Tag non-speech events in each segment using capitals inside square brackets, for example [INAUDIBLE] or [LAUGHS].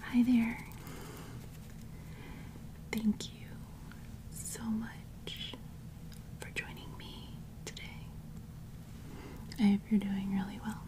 Hi there. Thank you so much for joining me today. I hope you're doing really well.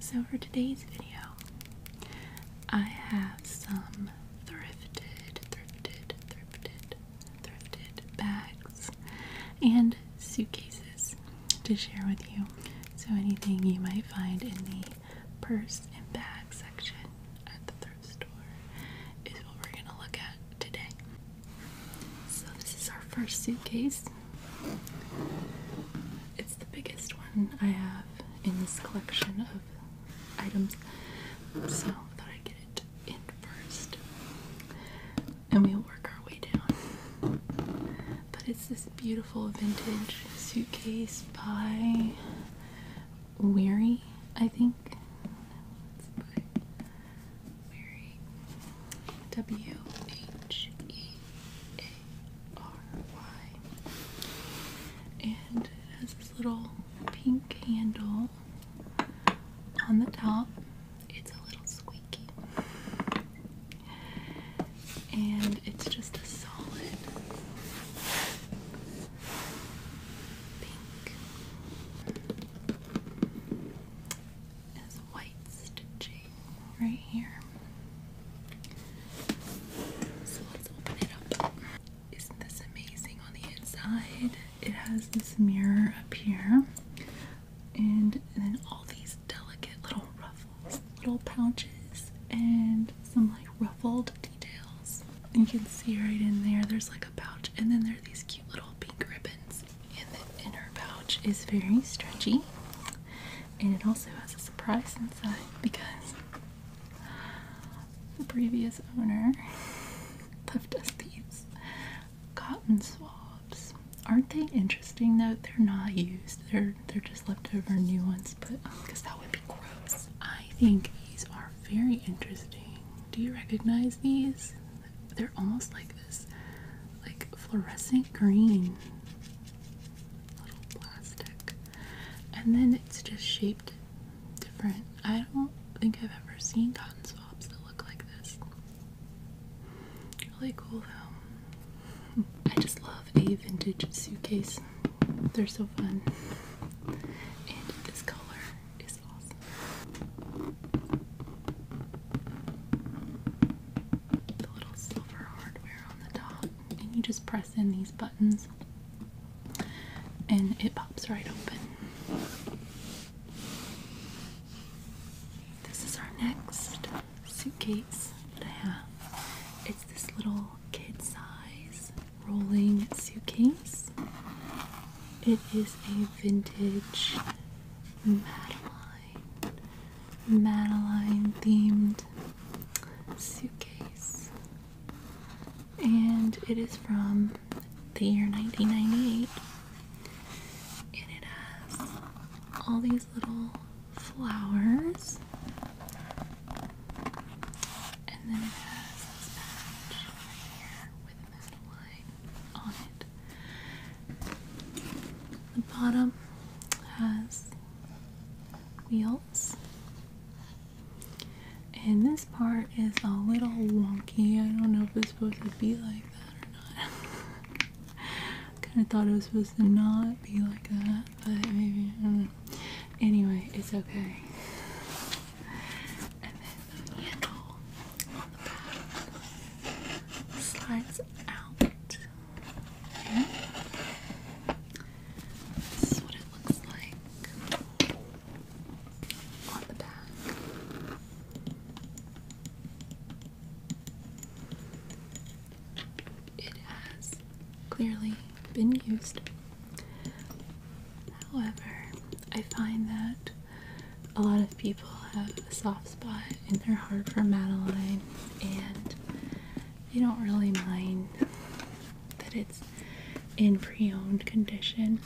So, for today's video, I have some thrifted, thrifted, thrifted, thrifted bags and suitcases to share with you. So, anything you might find in the purse and bag section at the thrift store is what we're going to look at today. So, this is our first suitcase. It's the biggest one I have in this collection of items. So, I i get it in first and we'll work our way down. But it's this beautiful vintage suitcase by Weary, I think. W H E A R Y. And it has this little pink handle on the top it's a little squeaky. And it's just a solid pink. As white stitching right here. So let's open it up. Isn't this amazing on the inside? It has this mirror up here and, then all these delicate little ruffles, little pouches, and some like ruffled details. You can see right in there, there's like a pouch, and then there are these cute little pink ribbons. And the inner pouch is very stretchy, and it also has a surprise inside because the previous owner [LAUGHS] left us these cotton swabs. Aren't they interesting though? They're not used. They're they're just leftover new ones, but because um, that would be gross. I think these are very interesting. Do you recognize these? They're almost like this like fluorescent green. Little plastic. And then it's just shaped different. I don't think I've ever seen cotton swabs that look like this. Really cool though. I just love a vintage suitcase. They're so fun. And this color is awesome. The little silver hardware on the top. And you just press in these buttons and it pops right open. This is our next suitcase that I have. It's this little kid size rolling suitcase. It is a vintage Madeline, Madeline themed suitcase. And it is from the year 1998 and it has all these little flowers, and then it has this patch right here with a line on it. The bottom has wheels, and this part is a little wonky. I don't know if it's supposed to be like that or not. [LAUGHS] kind of thought it was supposed to not be like that, but maybe. Anyway, it's okay. And then the handle on the back slides out. This is what it looks like on the back. It has clearly been used. However, I find that a lot of people have a soft spot in their heart for Madeline and they don't really mind that it's in pre owned condition.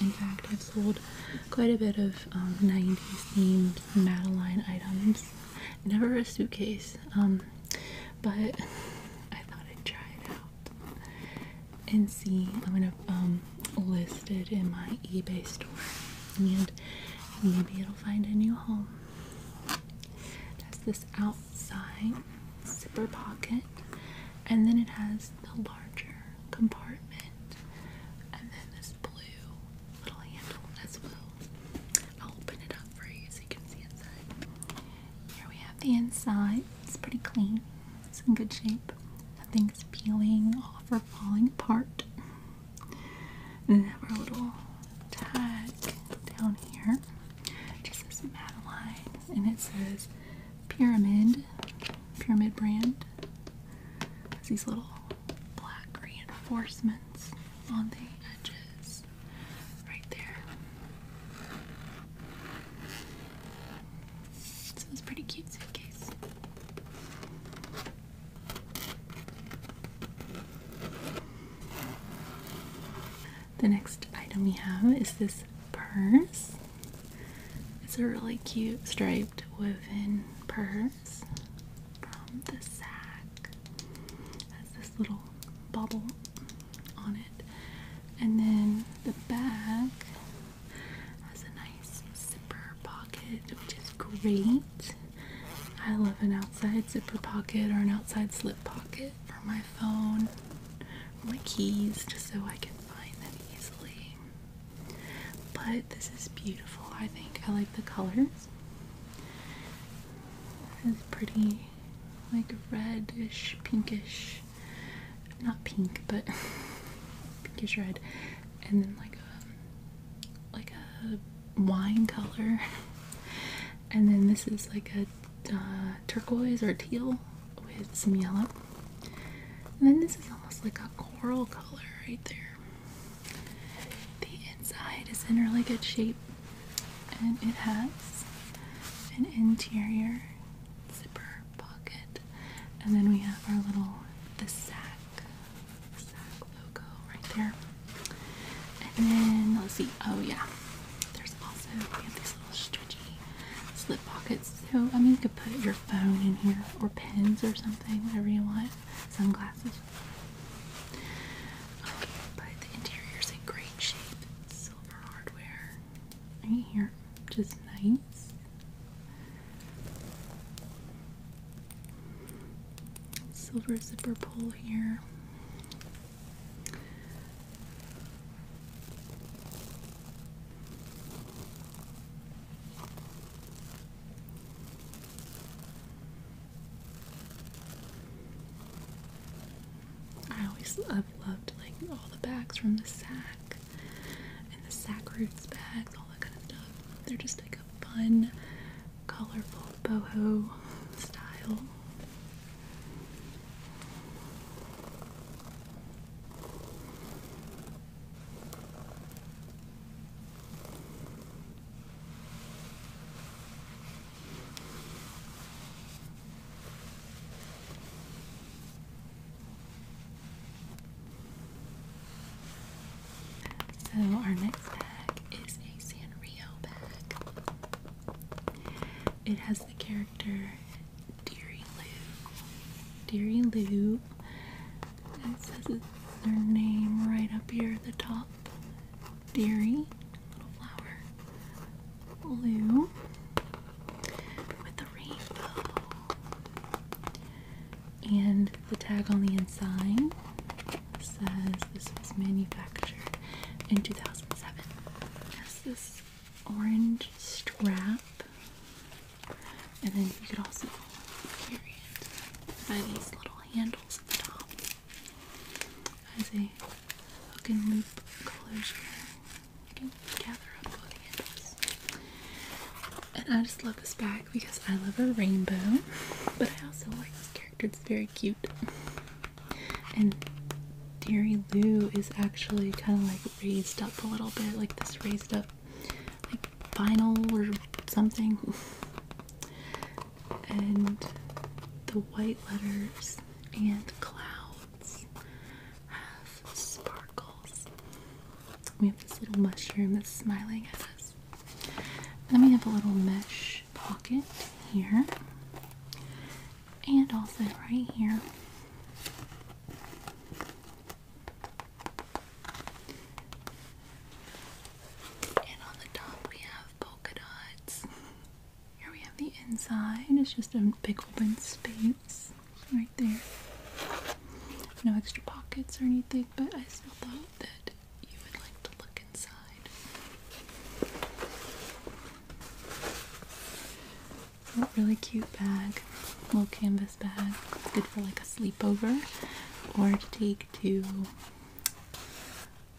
In fact, I've sold quite a bit of 90s um, themed Madeline items. Never a suitcase, um, but I thought I'd try it out and see. I'm gonna um, list it in my eBay store and maybe it'll find a new home. That's this outside zipper pocket, and then it has the larger compartment, and then this blue little handle as well. I'll open it up for you so you can see inside. Here we have the inside. It's pretty clean. It's in good shape. Nothing's peeling off or falling apart. And then we our little tag down here. just says Madeline, and it says Pyramid, Pyramid brand. There's these little black reinforcements on the edges right there. it's a pretty cute suitcase. The next item we have is this purse. It's a really cute stripe shaped woven purse from the sack. Has this little bubble on it. And then the back has a nice zipper pocket, which is great. I love an outside zipper pocket or an outside slip pocket for my phone, my keys, just so I can find them easily. But this is beautiful, I think. I like the colors. It's pretty, like reddish, pinkish. Not pink, but [LAUGHS] pinkish red. And then like a, um, like a wine color. [LAUGHS] and then this is like a uh, turquoise or teal with some yellow. And then this is almost like a coral color right there. The inside is in really good shape and it has an interior zipper pocket. And then we have our little the sack, the sack logo right there. And then let's see, oh yeah. There's also we have these little stretchy slip pockets so, I mean, you could put your phone in here or pens or something, whatever you want. Sunglasses. but the interior's in great shape. Silver hardware. Right here. Just nice. Silver zipper pull here. I always i loved like all the bags from the sack and the sack roots bags, all that kind of stuff. They're just like a fun, colorful boho style. So, our next bag is a Sanrio bag. It has the character Deary Lou. Deary Lou. It says their name right up here at the top. Deary, little flower. Lou with the rainbow. And the tag on the inside says this was manufactured in 2007. has this orange strap and then you could also carry it by these little handles at the top as a hook and loop closure. You can gather up both handles. And I just love this bag because I love a rainbow, but I also like this character. It's very cute. And Deary Lou is actually kind of like raised up a little bit, like this raised up, vinyl or something. and the white letters and clouds have sparkles. We have this little mushroom that's smiling at us. Then we have a little mesh pocket here. And also right here and on the top we have polka dots. Here we have the inside. It's just a big open space right there. No extra pockets or anything, but I still thought that you would like to look inside really cute bag, little canvas bag. good for like a sleepover or to take to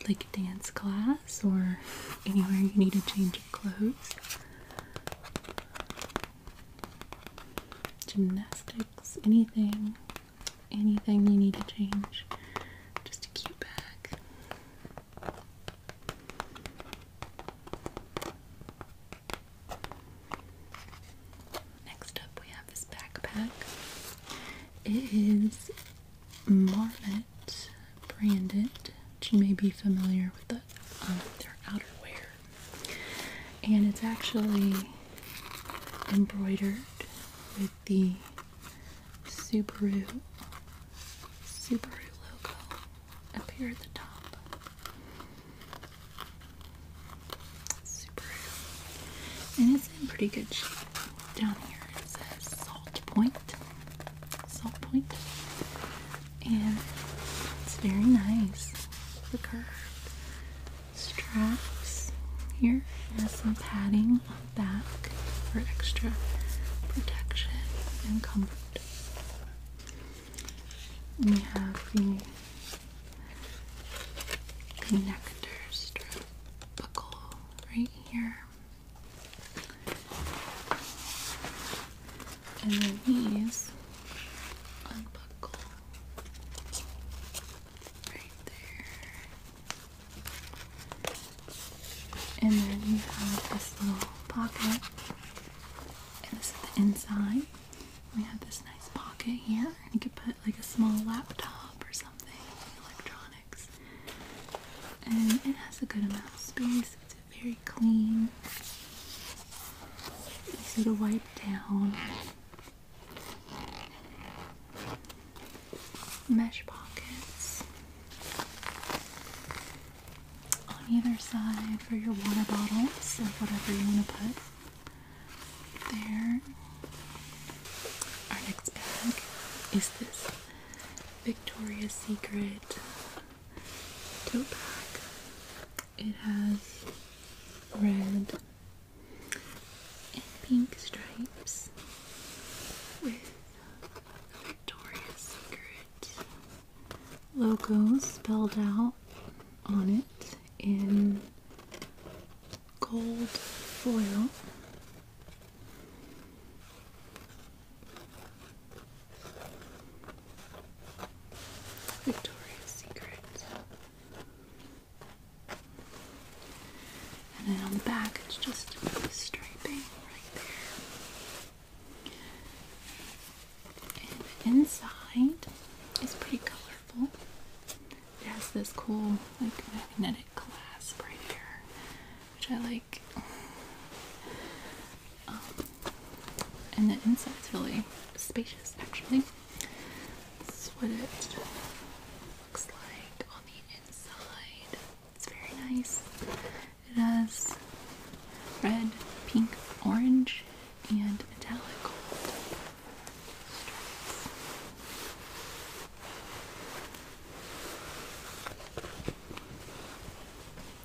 like dance class or anywhere you need to change of clothes. Gymnastics, anything, anything you need to change. Just a cute bag. Next up, we have this backpack. It is Marmot branded, which you may be familiar with um, their outerwear. And it's actually embroidered with the Subaru Subaru logo up here at the top. And it's in pretty good shape. Down here it says Salt Point. Salt And it's very nice. The curved straps here. It has some padding on the back for extra protection and comfort. And we have the connector strip buckle right here. And then these unbuckle right there. And then you have this little pocket. And this is the inside. We have this nice pocket here. You could put like a small laptop or something, electronics. And it has a good amount of space. It's very clean. Easy to wipe down. Mesh pockets on either side for your water bottles or whatever you want to put there. Our next bag is this Victoria's Secret tote bag. It has red and pink stripes with Victoria's Secret logo spelled out on it in gold foil. Victoria's Secret. And then on the back, it's just striping right there. And inside is pretty colorful. It has this cool like magnetic clasp right here, which I like. Um, and the inside is really spacious actually. That's what it looks like on the inside. It's very nice. It has red, pink, orange, and metallic gold stripes.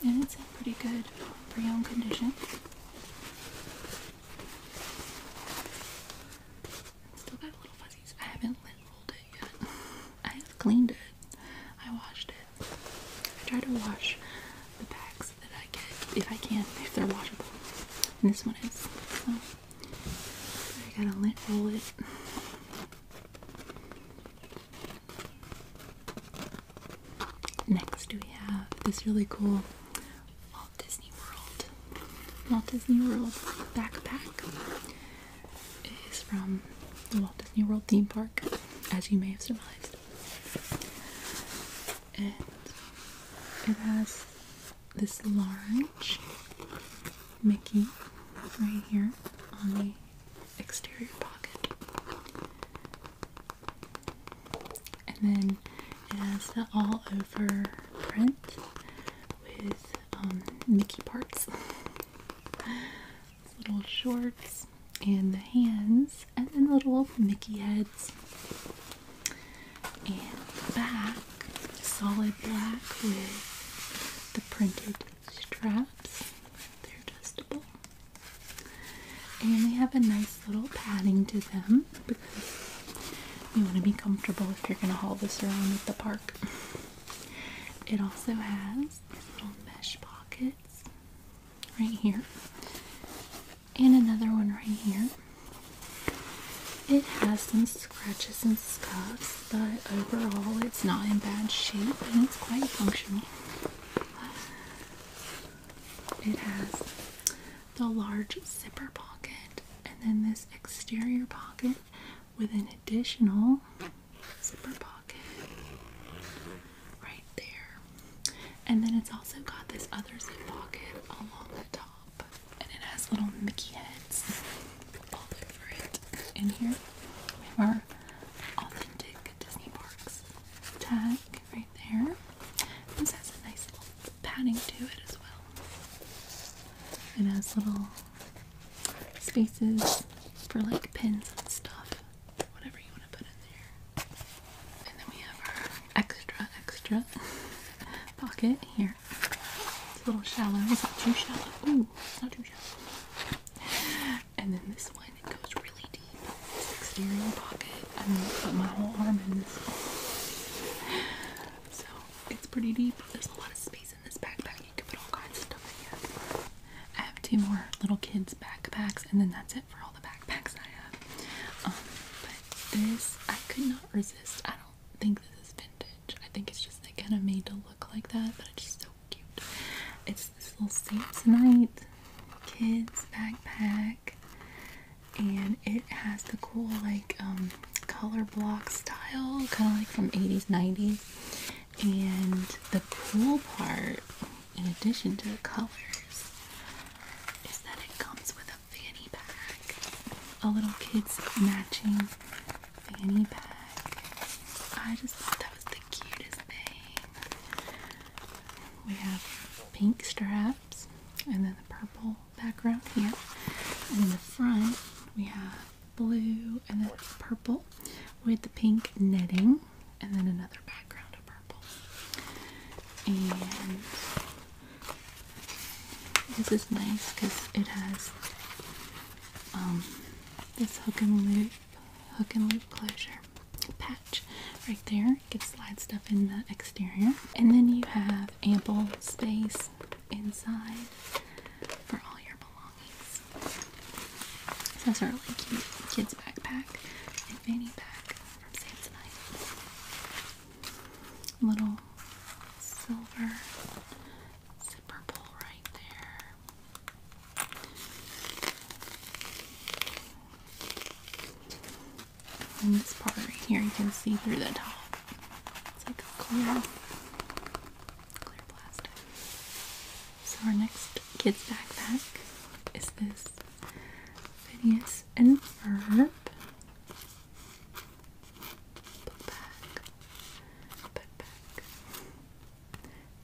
And it's in pretty good um, pre-owned condition. still got little fuzzies. I haven't lint rolled it yet. [LAUGHS] I have cleaned it. I washed it. I try to wash the bags that I get if I can, if they're washable. And this one is. So I gotta lint roll it. Next, we have this really cool Walt Disney World. Walt Disney World backpack is from the Walt Disney World theme park, as you may have surmised and it has this large Mickey right here on the exterior pocket, and then it has the all over print with um, Mickey parts. [LAUGHS] little shorts and the hands and then little Mickey heads. And the back, solid black with the printed straps. They're adjustable. And they have a nice little padding to them because you want to be comfortable if you're going to haul this around at the park. It also has little mesh pockets right here and another one right here. It has some scratches and scuffs, but overall it's not in bad shape and it's quite functional. It has the large zipper pocket and then this exterior pocket with an additional zipper pocket right there. And then it's also got this other zip pocket along the top. And it has little Mickey heads all over it. In here, we have our authentic Disney Parks tag right there. This has a nice little padding to it as well. It has little spaces for like pins and stuff whatever you want to put in there. And then we have our extra, extra [LAUGHS] pocket here. It's a little shallow. It's not too shallow. Ooh, it's not too shallow. And then this one, it goes really deep. This pocket. I'm put my whole arm in this So, it's pretty deep. There's a lot of space in this backpack. You can put all kinds of stuff in it. I have two more little kids' backpacks, and then that's it for all backpacks I have. Um, but this, I could not resist. I don't think this is vintage. I think it's just they kind of made to look like that, but it's just so cute. It's this little Samsonite kids backpack, and it has the cool like um, color block style, kind of like from 80s, 90s. And the cool part in addition to the colors, is that it comes with a fanny pack. A little kid's matching fanny pack. I just thought that was the cutest thing. We have pink straps and then the purple background here. And in the front, we have blue and then purple with the pink netting and then another background of purple. And this is nice because it has um, this hook and loop, hook and loop closure patch right there. You can slide stuff in the exterior. And then you have ample space inside for all your belongings that's our really cute kids backpack and fanny pack from Samsonite. Little silver zipper pull right there. And this part right here, you can see through the top. It's like a clear, clear plastic. So our next kids backpack is this Phineas and Ferb backpack.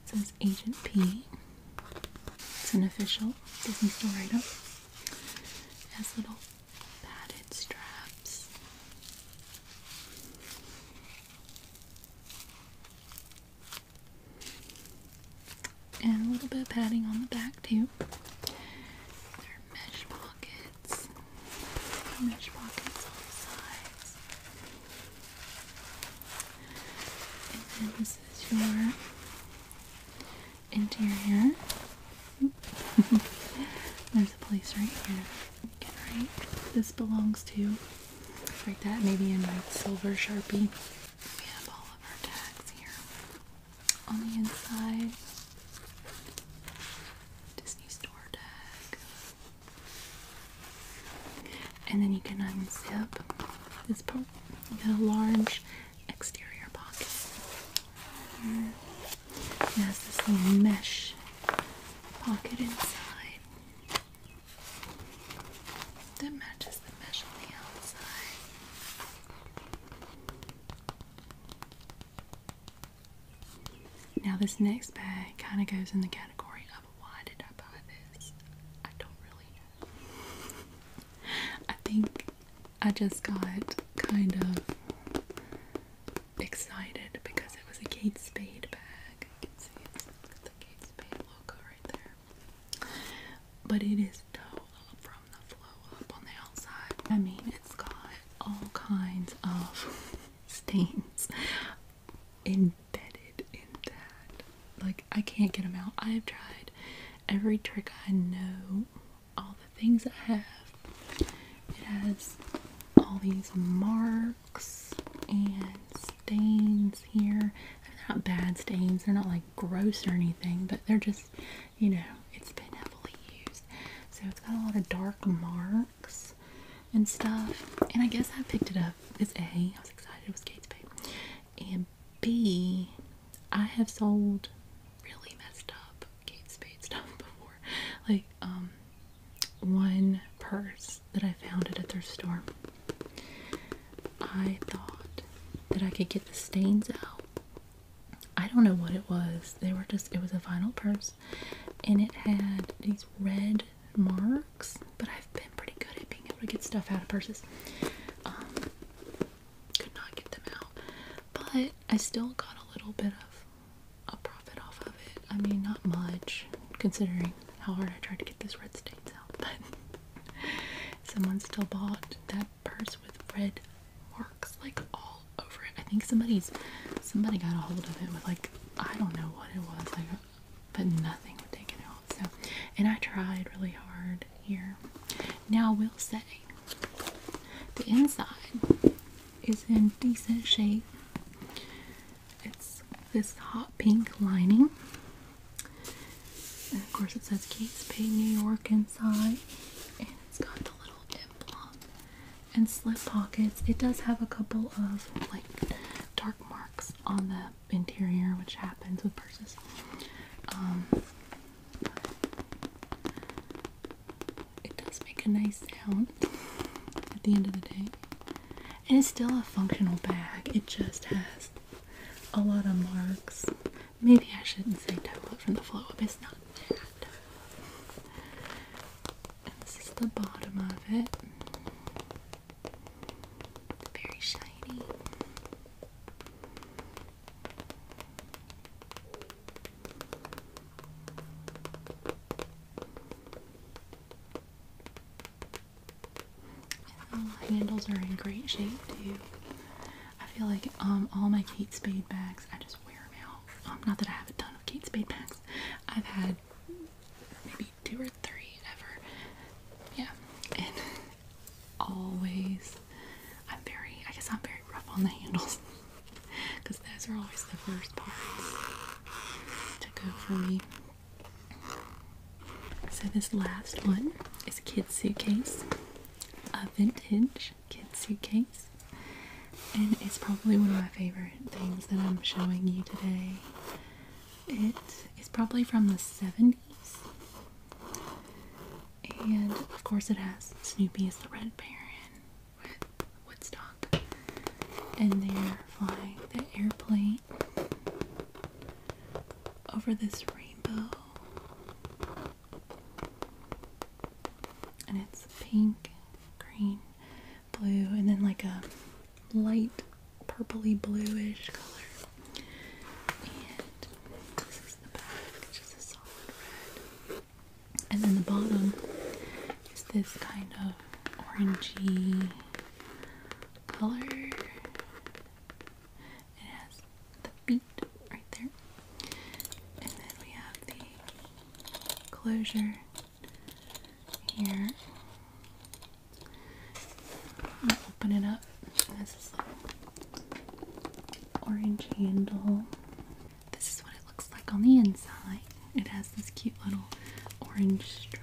says Agent P. It's an official Disney store item. It has little padded straps. And a little bit of padding on the back too. There are mesh pockets. mesh pockets on the sides. And then this is your interior. [LAUGHS] There's a place right here. This belongs to like that, maybe in my silver sharpie. We have all of our tags here on the inside. Disney store tag. And then you can unzip this part. You got a large exterior pocket. It has this little mesh pocket inside that matches the mesh on the outside. Now, this next bag kind of goes in the category of why did I buy this? I don't really know. [LAUGHS] I think I just got kind of excited because it was a Kate Spade bag. You can see the Kate Spade logo right there. But it is toe from the flow up on the outside. I mean, it's got all kinds of [LAUGHS] stains embedded in that. Like, I can't get them out. I have tried every trick I know, all the things I have. It has all these marks and stains here. They're not bad stains, they're not like gross or anything, but they're just, you know, it's been heavily used. So it's got a lot of dark marks and stuff. And I guess I picked it up. It's A, I was excited it was Kate's babe. And B, I have sold really messed up Kate Spade stuff [LAUGHS] before. Like, um, one purse that I found it at a thrift store. I thought that I could get the stains out. I don't know what it was. They were just, it was a vinyl purse and it had these red marks, but I've been pretty good at being able to get stuff out of purses. Um, could not get them out, but I still got a little bit of a profit off of it. I mean, not much considering how hard I tried to get those red stains out, but [LAUGHS] someone still bought that purse with red marks like all over it. I think somebody's somebody got a hold of it with like I don't know what it was, like but nothing would take it out. So and I tried really hard here. Now I will say the inside is in decent shape. It's this hot pink lining. And of course it says Kate Spade New York inside. And it's got the little emblem and slip pockets. It does have a couple of like dark marks on the interior, which happens with purses. Um, it does make a nice sound at the end of the day and it's still a functional bag. It just has a lot of marks. Maybe I shouldn't say toe from the flow up. It's not that. this is the bottom of it. very shiny. Oh, handles are in great shape too. I feel like um all my Kate Spade bags, I just wear them out. Um, not that I have a ton of Kate Spade bags. I've had maybe two or three ever. Yeah, and [LAUGHS] always I'm very, I guess I'm very rough on the handles because [LAUGHS] those are always the first parts to go for me. So this last one is a kid's suitcase, a vintage kid's suitcase, and it's probably one of my favorite things that I'm showing you today. It is probably from the 70s, and of course it has Snoopy as the Red Baron with Woodstock, and they're flying the airplane over this rainbow. And it's pink, green, blue, and then like a light purpley bluish color. And this is the back, just a solid red. And then the bottom is this kind of orangey color. It has the beat right there. And then we have the closure here. I'm gonna open it up. This is like orange handle. This is what it looks like on the inside. It has this cute little orange strap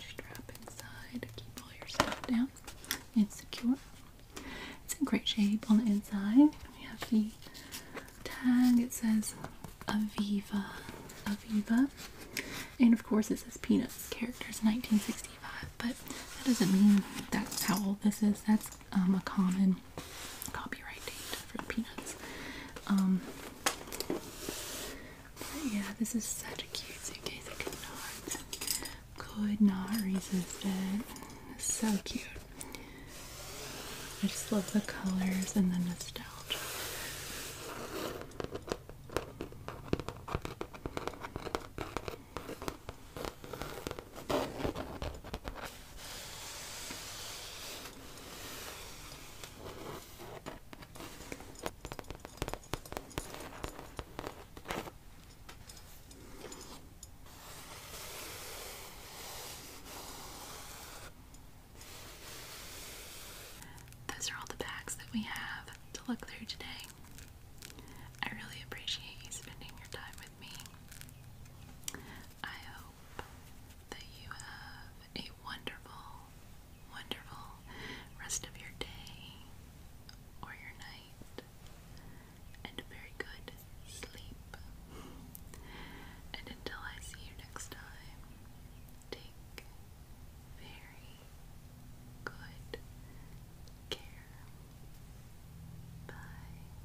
strap inside keep all your stuff down and secure. It's in great shape on the inside. We have the tag. It says Aviva. Aviva. And of course it says Peanuts characters 1965, but that doesn't mean that's how old this is. That's um, a common copyright date for Peanuts. Um, but yeah, this is such a cute suitcase. I could not, could not resist it. so cute. I just love the colors and the nostalgia. Those are all the bags that we have to look through today. I really appreciate you spending your time with me. I hope that you have a wonderful wonderful rest of your day or your night and a very good sleep. And until I see you next time, take very good care. Bye.